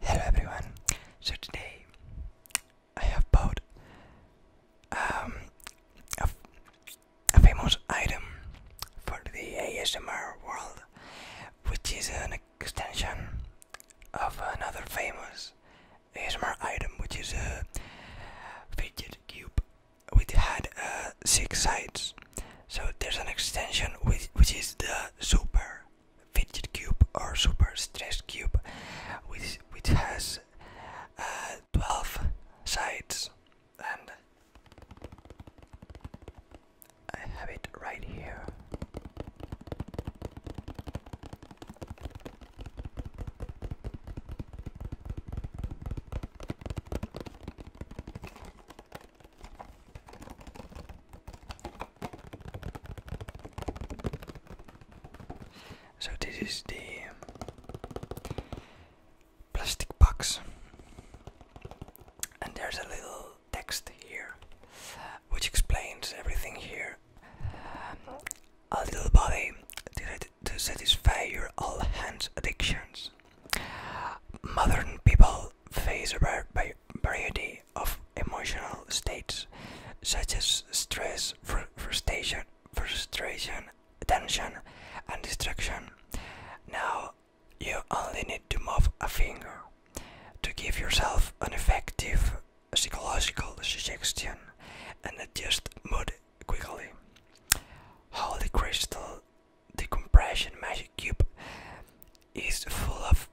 Hello everyone. So today I have bought um, a, famous item for the ASMR world, which is an extension of another famous ASMR item, which is a fitted cube, which had uh, six sides. So there's an extension which is the super fidget cube or super stress cube which which has uh, 12 sides and I have it right here so this is the plastic box, and there's a little text here which explains everything here. A little body to satisfy your all hands addictions. Modern people face a variety of emotional states such as stress, frustration, frustration, tension, and distraction. Now you only need to move a finger to give yourself an effective psychological suggestion and adjust mood quickly. Holy Crystal Decompression Magic Cube is full of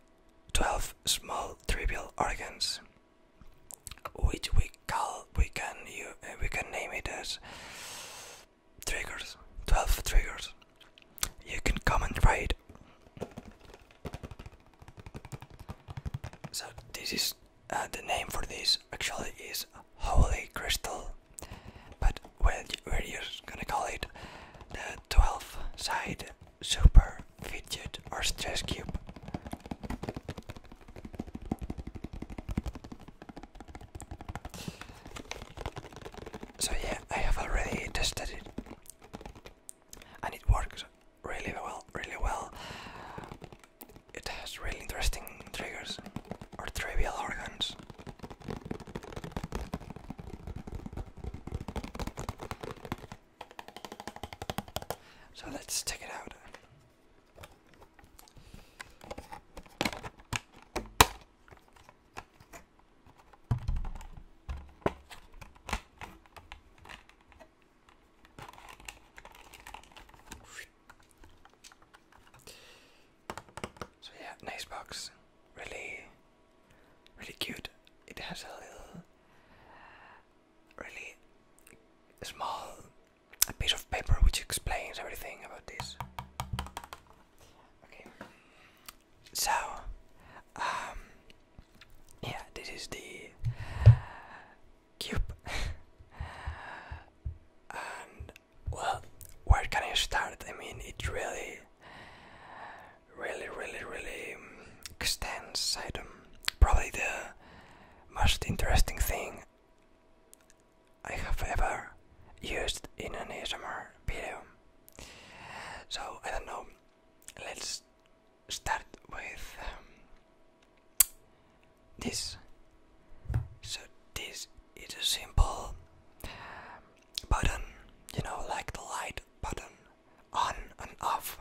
12 small trivial organs which we call we can you eh, we can name it as triggers 12 triggers you can come and try so this is uh, the name for this actually is holy crystal but where, where you're gonna call it the 12 side Super Fidget or Stress Cube. So, yeah, I have already tested it and it works really well, really well. It has really interesting triggers or trivial organs. So let's take it out. So yeah, nice box. Really really cute. It has a little, really small piece of paper which explains everything about this. Okay, so um, yeah, this is the cube, and well, where can I start? I mean, it really really, really, really um, extensive item. Probably the most interesting thing I have ever used in an ASMR video. So I don't know. Let's start with um, this. So this is a simple button, you know, like the light button on and off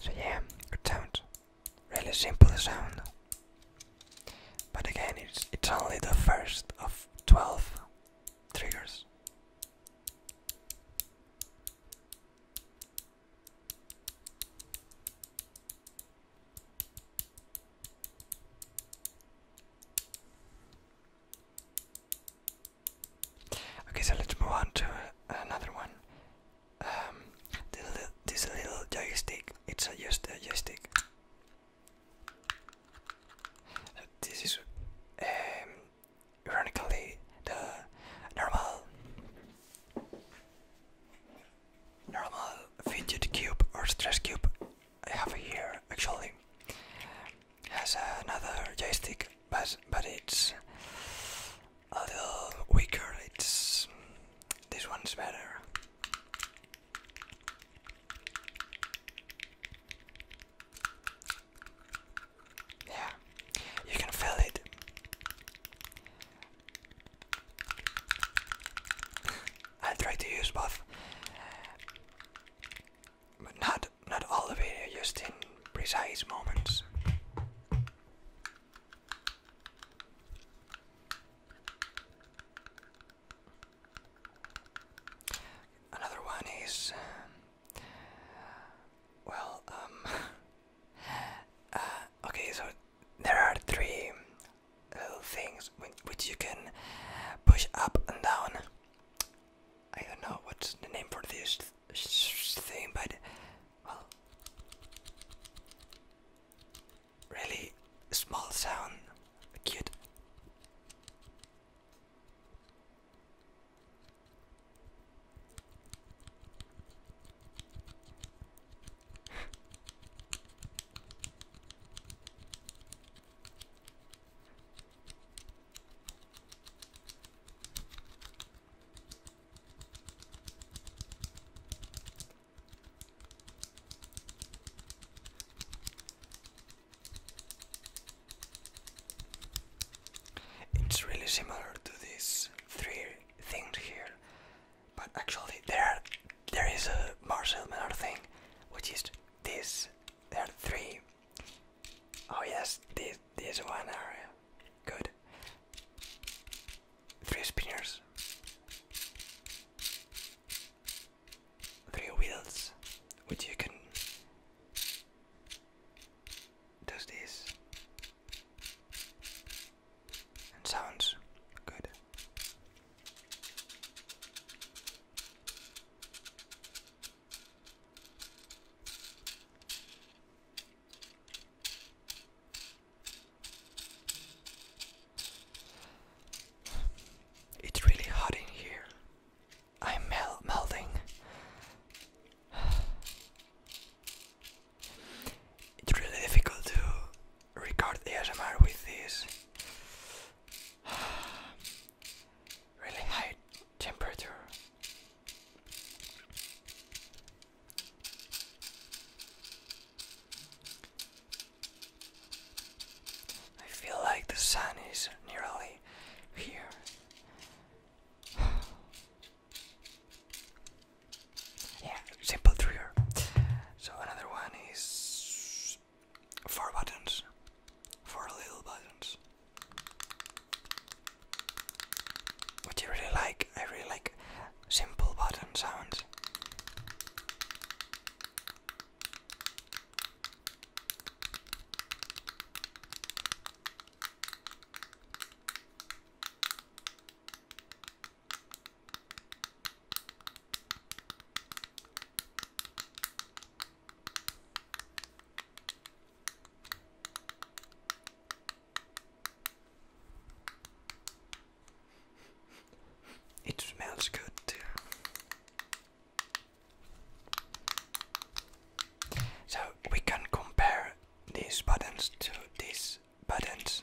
so yeah, good sound. Really simple sound. But again, it's it's only the first of twelve triggers. Okay, so let's move on to another one. Um, this is this little joystick, it's a joystick. This is, um, ironically, the normal, normal fidget cube or stress cube I have here actually has another joystick, but but it's a little weaker. It's this one's better. Yeah, you can feel it. i try to use both, but not not all of it, just in precise moments. Another one is, um, well, um, uh, okay, so there are three little uh, things which you can push up and down I don't know what's the name for this thing, but well, really small sound, cute. It's really similar to these three things here, but actually there there is a Marcel Menard thing, which is this. There are three Oh yes, this this one area. Uh, good. Three spinners. Three wheels, which you can do this. And sounds good. It's really hot in here. I'm melting. It's really difficult to record ASMR with this. really high temperature. I feel like the sun is nearly here. yeah, simple trigger. So another one is Four buttons. Four little buttons. What you really like? I really like simple button sounds. It smells good too. So we can compare these buttons to these buttons.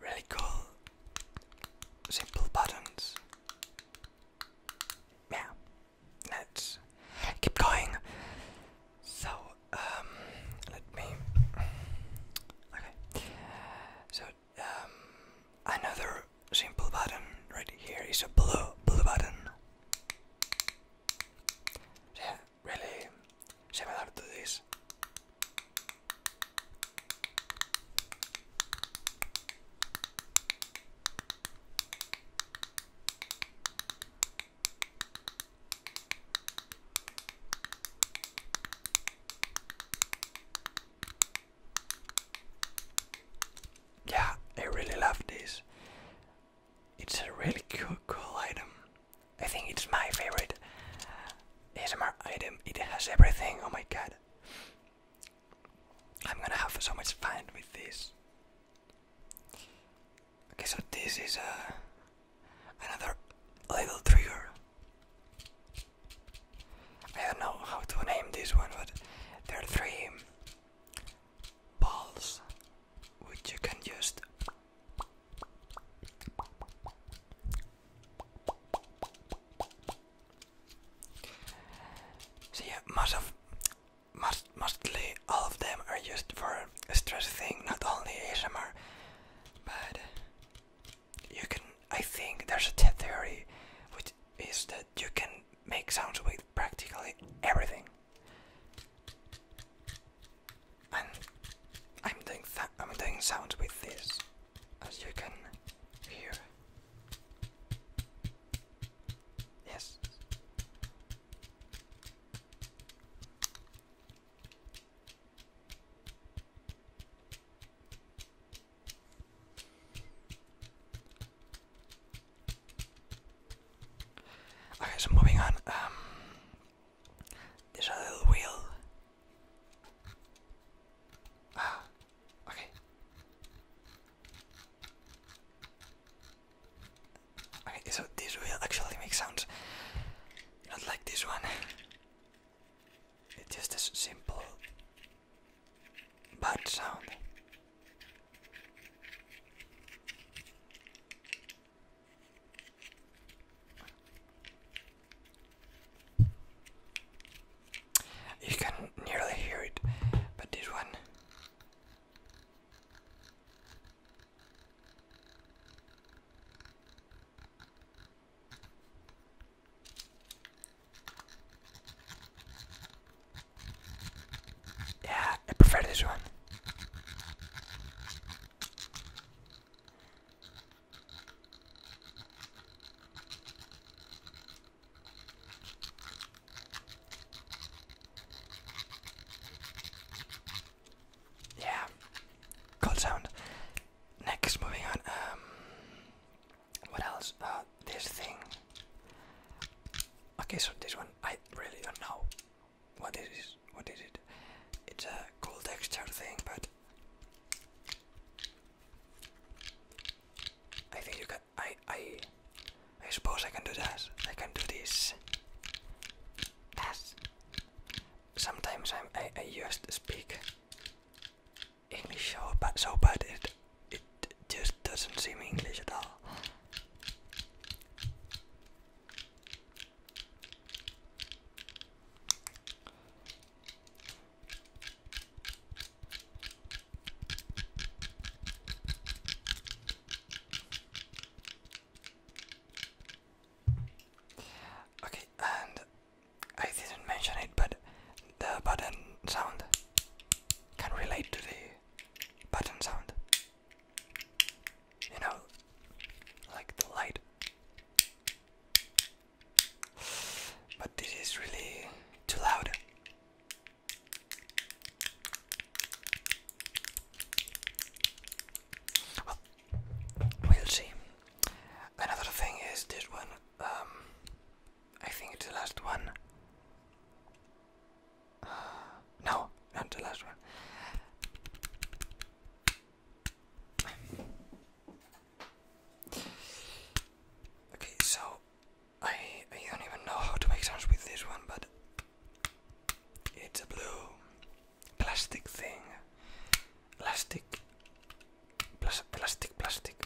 really cool, simple buttons. Yeah, let's keep going. So, um, let me. Okay. So, um, another simple button right here is a blue blue button. Yeah, really similar to this. Yeah, I really love this. It's a really cool, cool item. I think it's my favorite ASMR item. It has everything. Oh my god. I'm gonna have so much fun with this. Okay, so this is uh, another little trigger. I don't know how to name this one, but there are three balls which you can just. So most of, most, mostly all of them are used for stress thing, not only ASMR, but you can, I think there's a theory which is that you can make sounds with practically everything. And I'm doing, I'm doing sounds with this, as you can here. Yes. Okay, so moving on. Um, this other wheel Ah, okay. Okay, so this will actually make sounds. Not like this one. It's just a simple bad sound. You can nearly hear it, but this one. Yeah, I prefer this one. Yeah, cool sound. Next, moving on. Um, what else? Uh, this thing. Okay, so this one I really don't know what this What is it? It's a cool texture thing, but I think you can. I I I suppose I can do that. I can do this. Sometimes I'm, I I just speak English so bad, so bad it it just doesn't seem English at all. Okay, and I didn't mention it, but the button sound can relate to the button sound. You know, like the light. But this is really too loud. Well, we'll see. Another thing is this one. Um, I think it's the last one. no, not the last one. Okay, so I I don't even know how to make sense with this one, but it's a blue plastic thing. Plastic. Plas plastic. Plastic.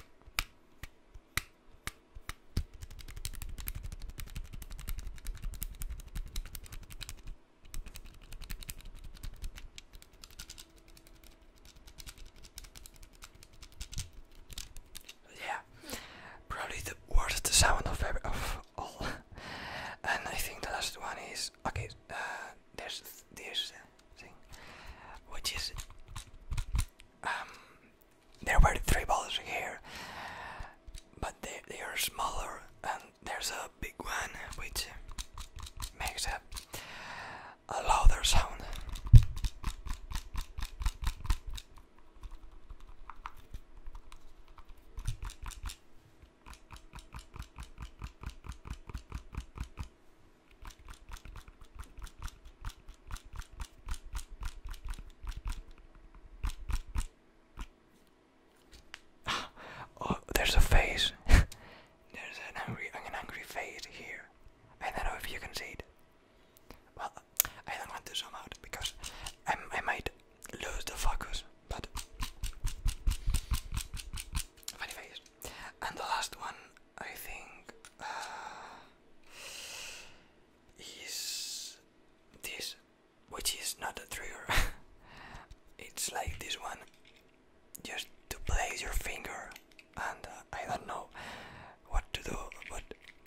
Yeah, probably the worst sound of ever, of all. and I think the last one is okay. Uh, there's this thing, which is um, there were three balls here, but they they are smaller, and there's a big one which makes it a louder sound. oh, there's a face. There's an angry, an angry face here. I don't know if you can see it. Well, I don't want to zoom out because i might lose the focus. But funny face. And the last one, I think, uh, is this, which is not a trigger. it's like this one just to place your finger, and uh, I don't know what to do, but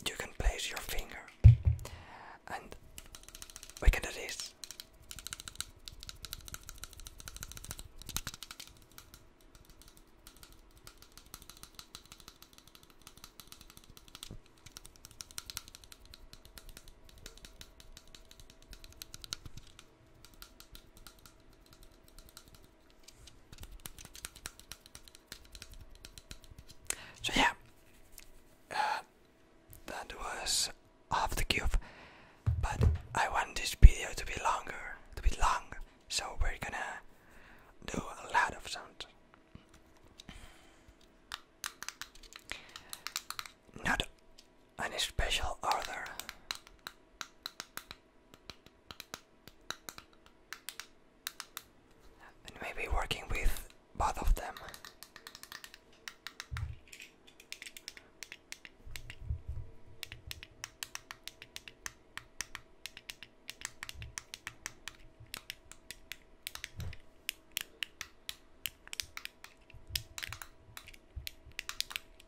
you can place your finger, and we can do this. So yeah, uh, that was off the cube, but I want this video to be longer, to be long, so we're gonna do a lot of sound. Not any special order and maybe working with both of them.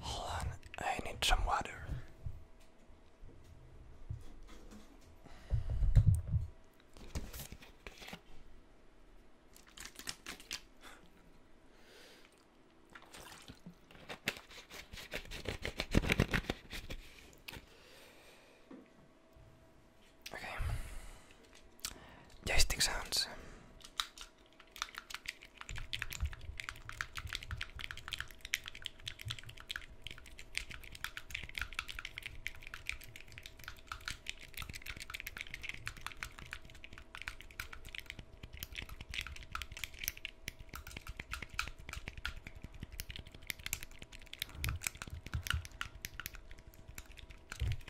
Hold on, I need some water. Okay joystick sounds.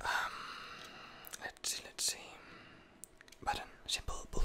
Um, let's see, let's see. Button, simple button.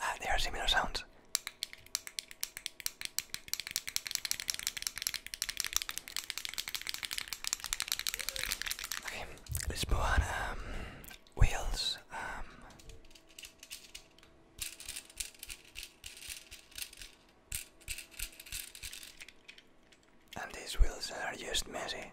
Ah, they are similar sounds. Okay, let's move on. Um, wheels. Um, and these wheels are just messy.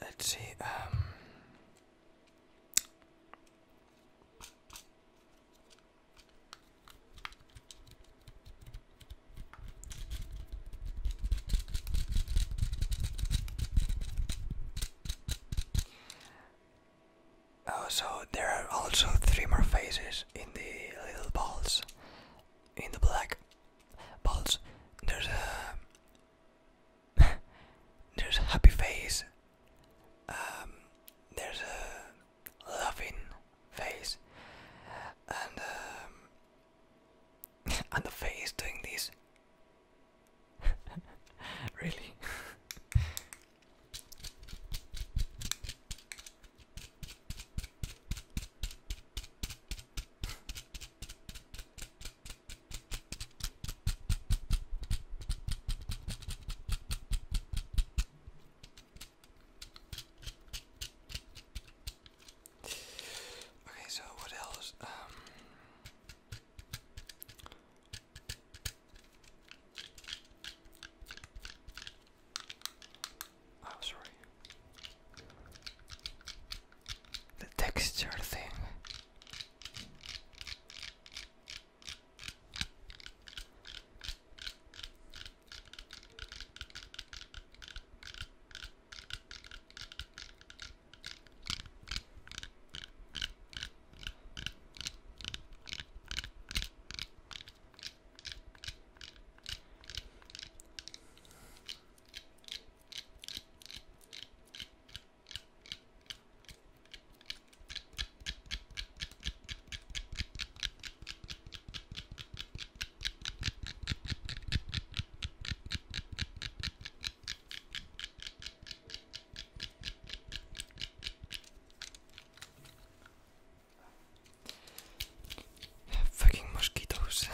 Let's see. Um, oh, so there are also three more faces in the little balls, in the black balls. There's a there's a happy face, um, there's a loving face, and um, and the face doing this. really. Okay, so what else? Um, oh, sorry the texture thing. Fucking mosquitoes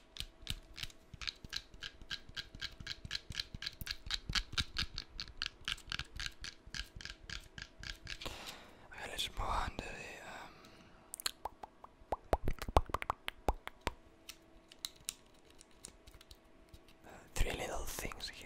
a little more under the um, uh, three little things here.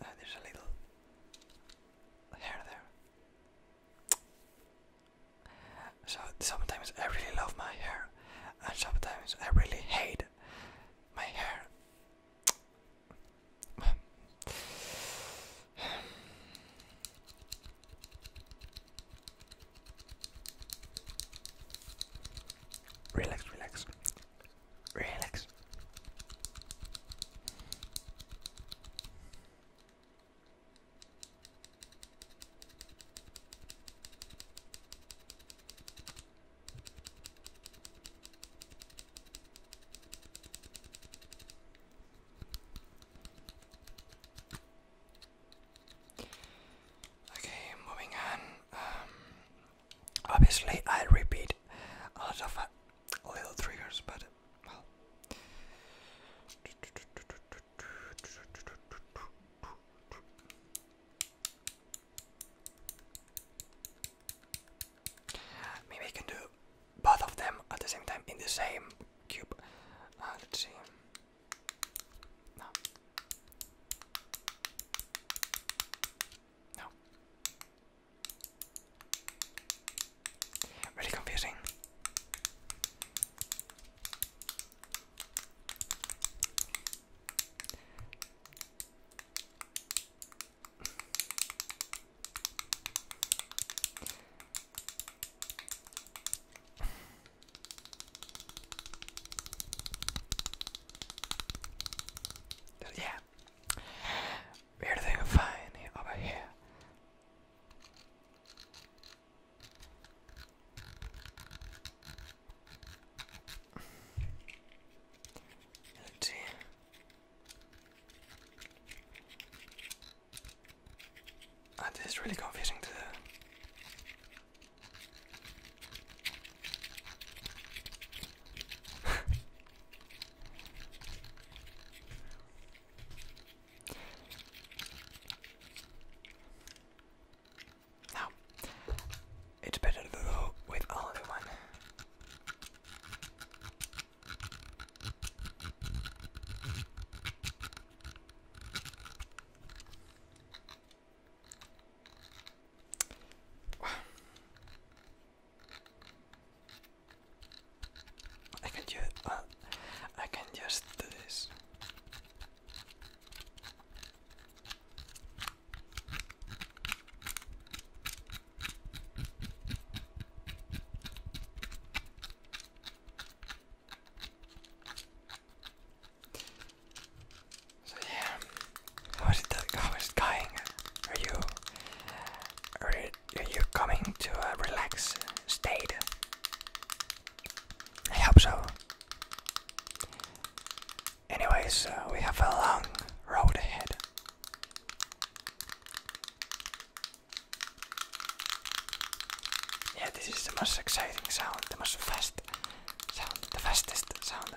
Uh, there's a little hair there. So sometimes I really love my hair, and sometimes I really hate my hair. relax, relax, relax. Okay, moving on. Um, obviously, I repeat a lot of uh, little triggers, but Maybe I can do both of them at the same time in the same cube. Uh, let's see. No. Really confusing yeah, everything fine over here. And us this is really confusing to do. Now, it's better to go with all in one. I can just, uh, I can just do this. So yeah, how is that? How is it going? are you, are you coming to a relaxed state? I hope so. Anyways, uh, we have a long road ahead. Yeah, this is the most exciting sound, the most fast sound, the fastest sound.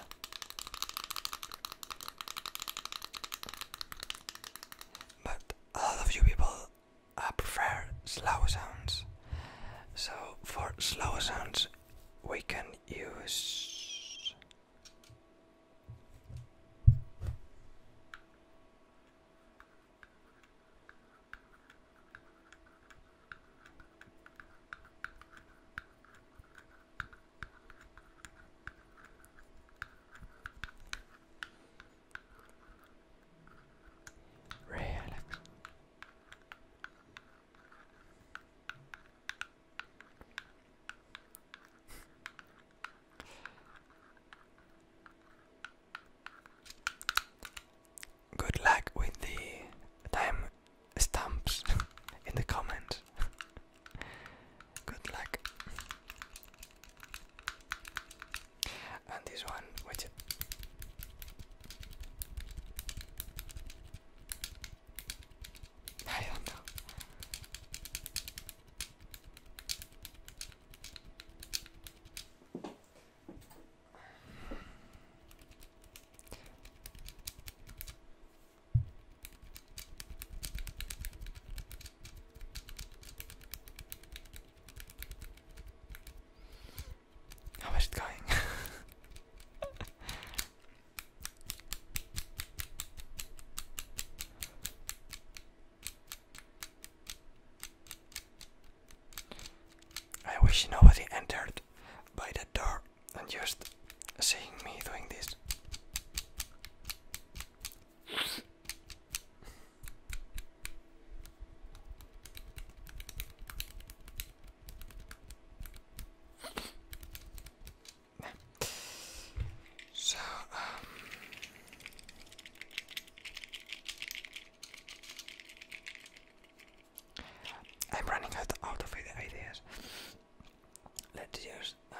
But a lot of you people I uh, prefer slow sounds. So, for slow sounds, we can use relax Good luck with the time stamps in the comments. Good luck. And this one, which I don't know. How is it going? I wish nobody entered by the door and just seeing me doing this. So, um, I'm running out out of ideas. Let's just um,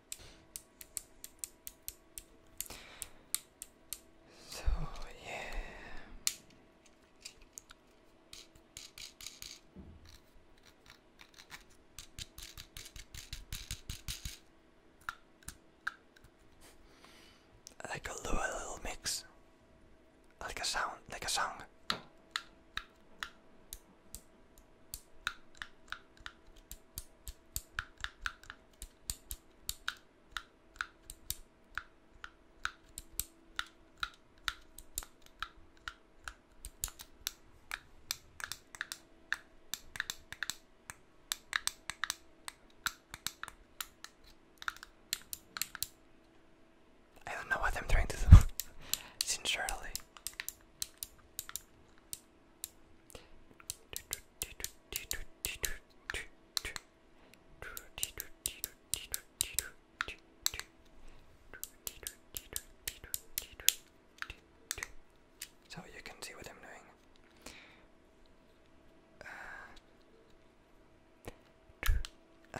So, yeah. Like a little, mix, like a sound, like a song. I don't know what I'm trying to do, sincerely. So you can see what I'm doing. Uh,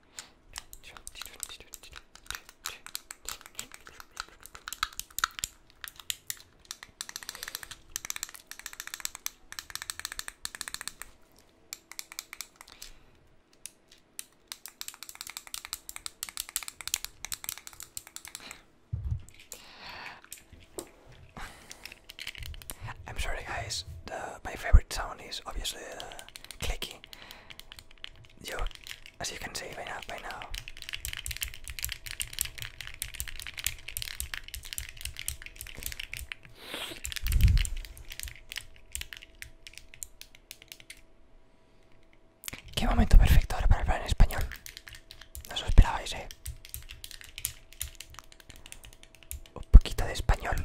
I'm sorry guys, my favorite sound is obviously uh, clicking Yo, así you can see by now, Qué momento perfecto ahora para hablar en español. No os lo esperabais, eh. Un poquito de español.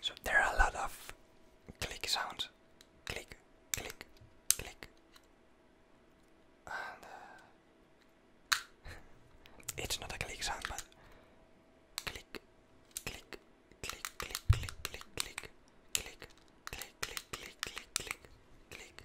So there are a lot of click sounds. Click, click, click. And uh, it's not a click sound, but click, click, click, click, click, click, click, click, click, click, click, click, click, click,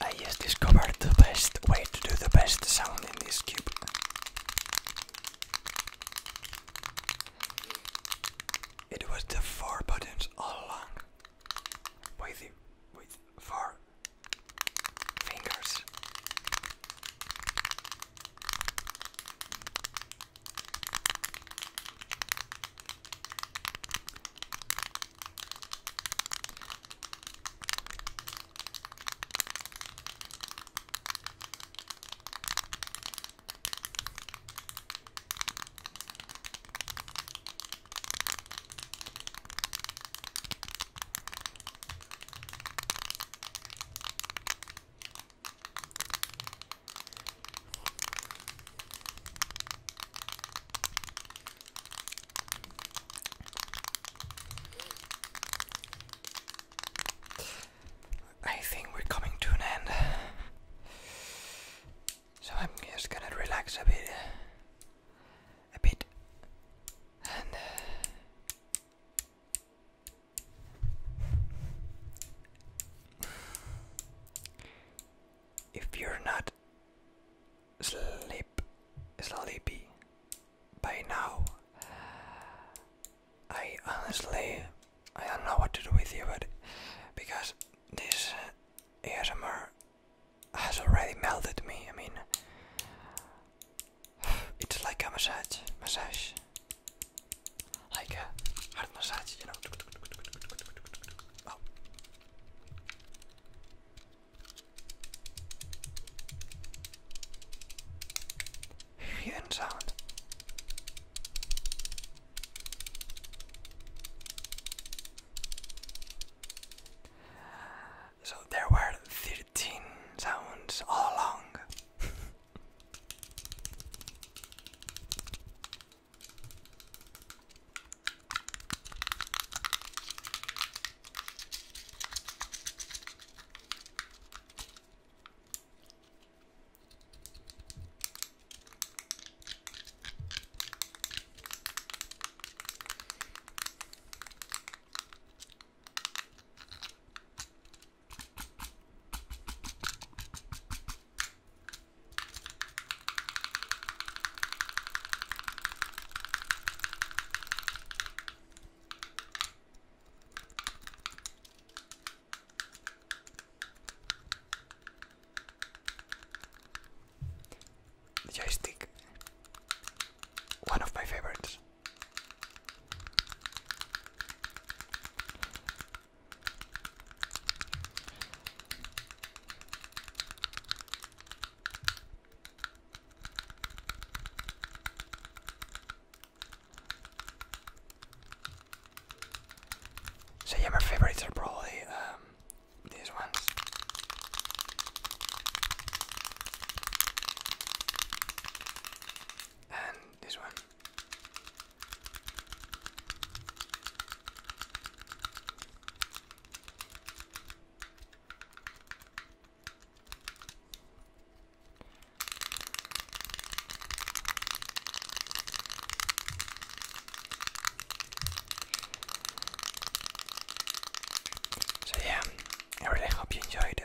I just discovered the best way to do the best sound in this cube. It was the four buttons all along. With, with four fingers. I think we're coming to an end. So I'm just gonna relax a bit a bit uh, if you're not sleep sleepy by now I honestly I don't know what to do with you but because this ASMR has already melted me. I mean, it's like a massage, massage, like a hard massage, you know. Oh. sound. So there were 13 sounds all along. The joystick one of my favorites. So yeah, my favorites are probably um, these ones. And this one. So yeah, I really hope you enjoyed it.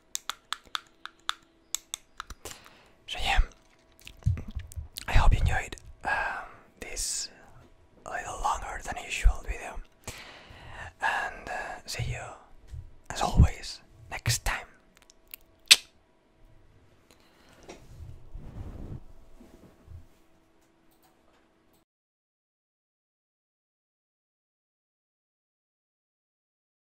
So yeah, I hope you enjoyed um, this a little longer than usual video, and uh, see you as always next time.